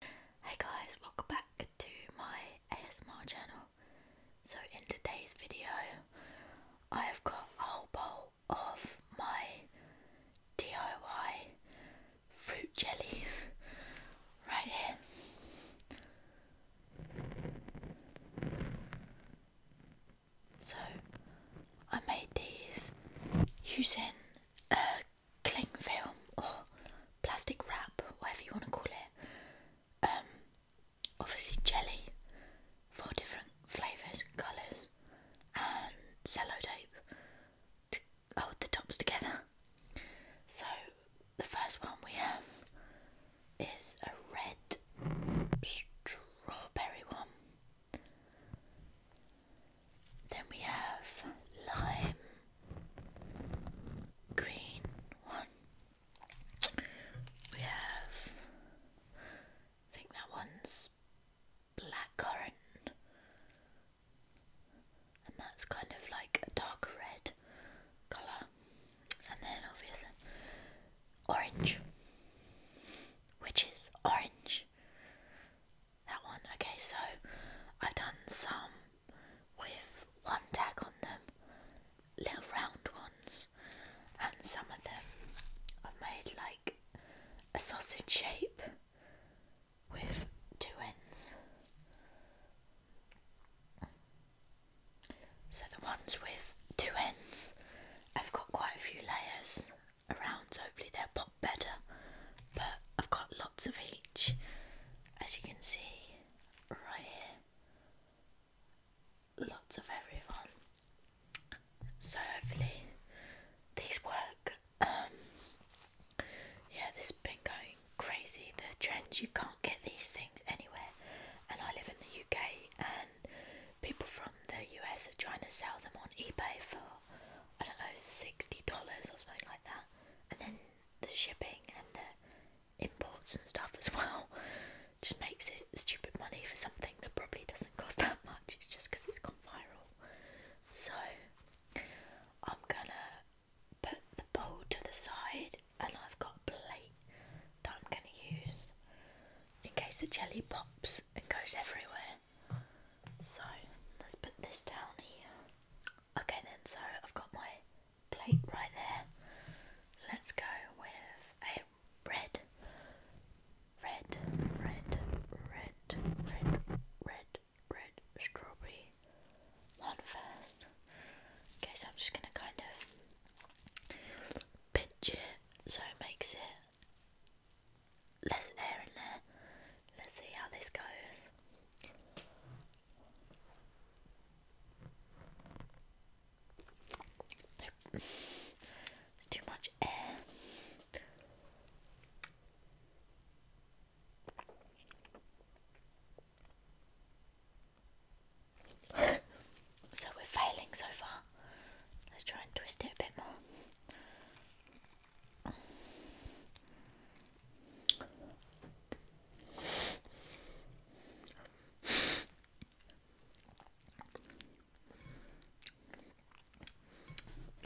Hey guys, welcome back to my ASMR channel. So in today's video, I have got a whole bowl of my DIY fruit jellies right here. So I made these using a cling film or plastic wrap, whatever you want to call it. Um, obviously jelly, four different flavours, and colours, and cello tape to hold the tops together. So the first one we have is a red strawberry one. Then we have lime green one. We have, think that one's black and that's kind of like a dark red colour, and then obviously orange, which is orange. That one. Okay, so I've done some with one tag on them, little round ones, and some of them I've made like a sausage shape with two ends. So the ones with two ends, I've got quite a few layers around, so hopefully they'll pop better, but I've got lots of each, as you can see right here. Lots of everyone. So hopefully these work. Um, yeah, this has been going crazy. The trend you can't get these things anywhere, and I live in the UK, and people from the US are trying to sell them on eBay for I don't know, sixty dollars or something like that. And then the shipping and the imports and stuff as well just makes it stupid money for something that probably doesn't cost that much. It's just because it's gone viral. So I'm gonna put the bowl to the side, and I've got a plate that I'm gonna use in case the jelly pops and goes everywhere. So let's put this down here. Okay, then, so I've got my plate right there. Let's go with a red, red, red, red, red, red, red strawberry one first. Okay, so I'm just gonna kind of pinch it so it makes it less air in there. Let's see how this goes. It's too much air. so we're failing so far. Let's try and twist it a bit more. Now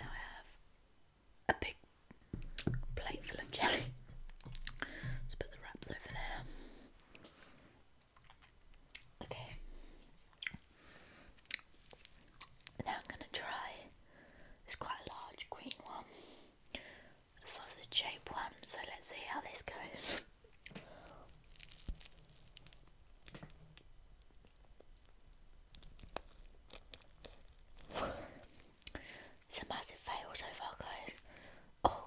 I have a big plate full of jelly. Let's put the wraps over there. Okay. Now I'm going to try it's quite a large green one, a sausage shaped one, so let's see how this goes. It's a massive fail so far, guys. Oh,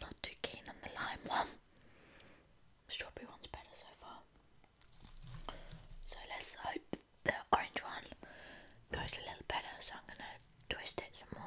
Not too keen on the lime one. Strawberry one's better so far. So let's hope the orange one goes a little better. So I'm gonna twist it some more.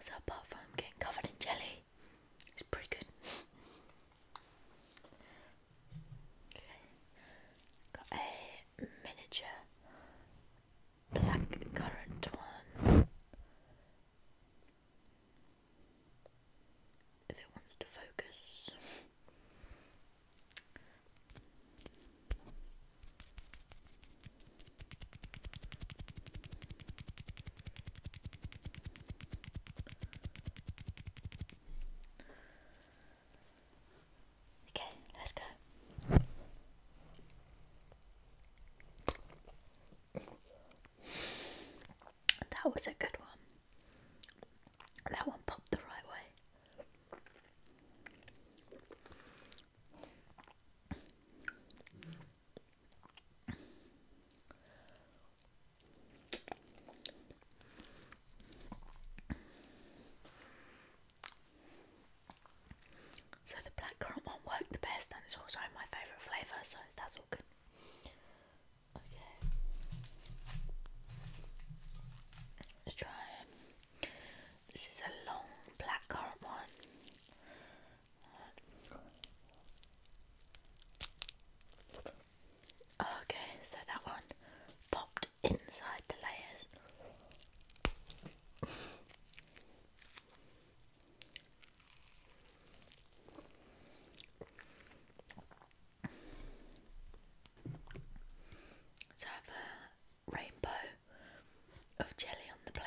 So apart from getting covered in jelly, it's pretty good. Got a miniature black currant one. If it wants to focus. Okay, let's go. That was a good one. That one popped the right way. So the blackcurrant one worked the best, and it's also my favourite flavour, so that's all good. Okay. Let's try um, this is a long blackcurrant one. Okay, so that one popped inside the layers. let rainbow of jelly on the plate.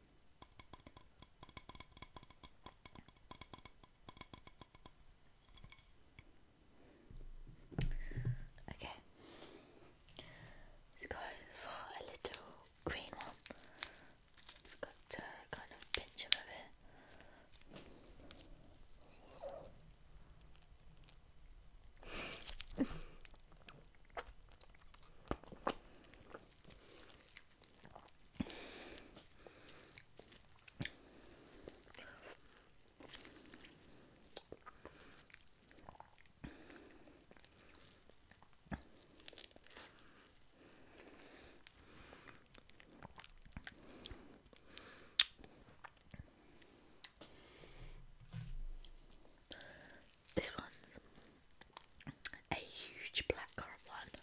Okay, let's go for a little green one. It's got to kind of pinch him a this one's a huge black currant one.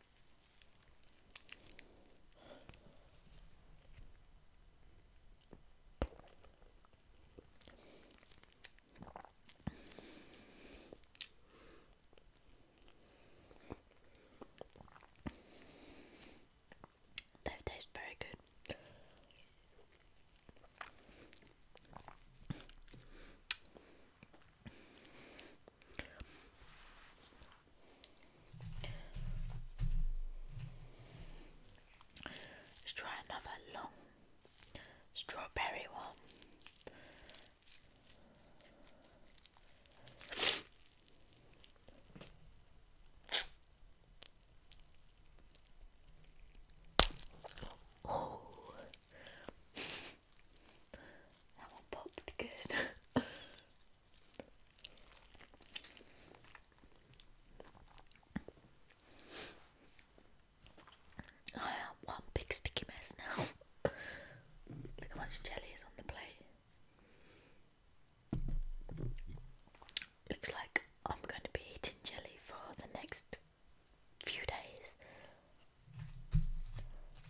That tastes very good. Let's try another long strawberry one. Oh, that one popped good. I am one big sticky mess now. Look how much jelly is on the plate. Looks like I'm going to be eating jelly for the next few days.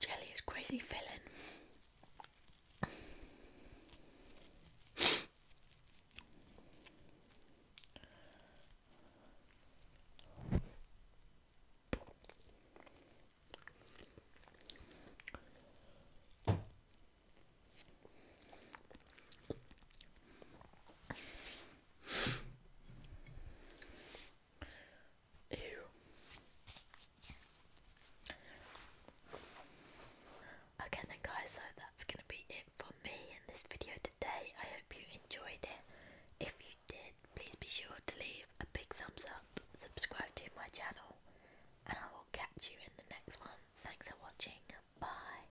Jelly is crazy filling. Okay then guys, so that's going to be it for me in this video today. I hope you enjoyed it. If you did, please be sure to leave a big thumbs up, subscribe to my channel, and I will catch you in the next one. Thanks for watching. Bye.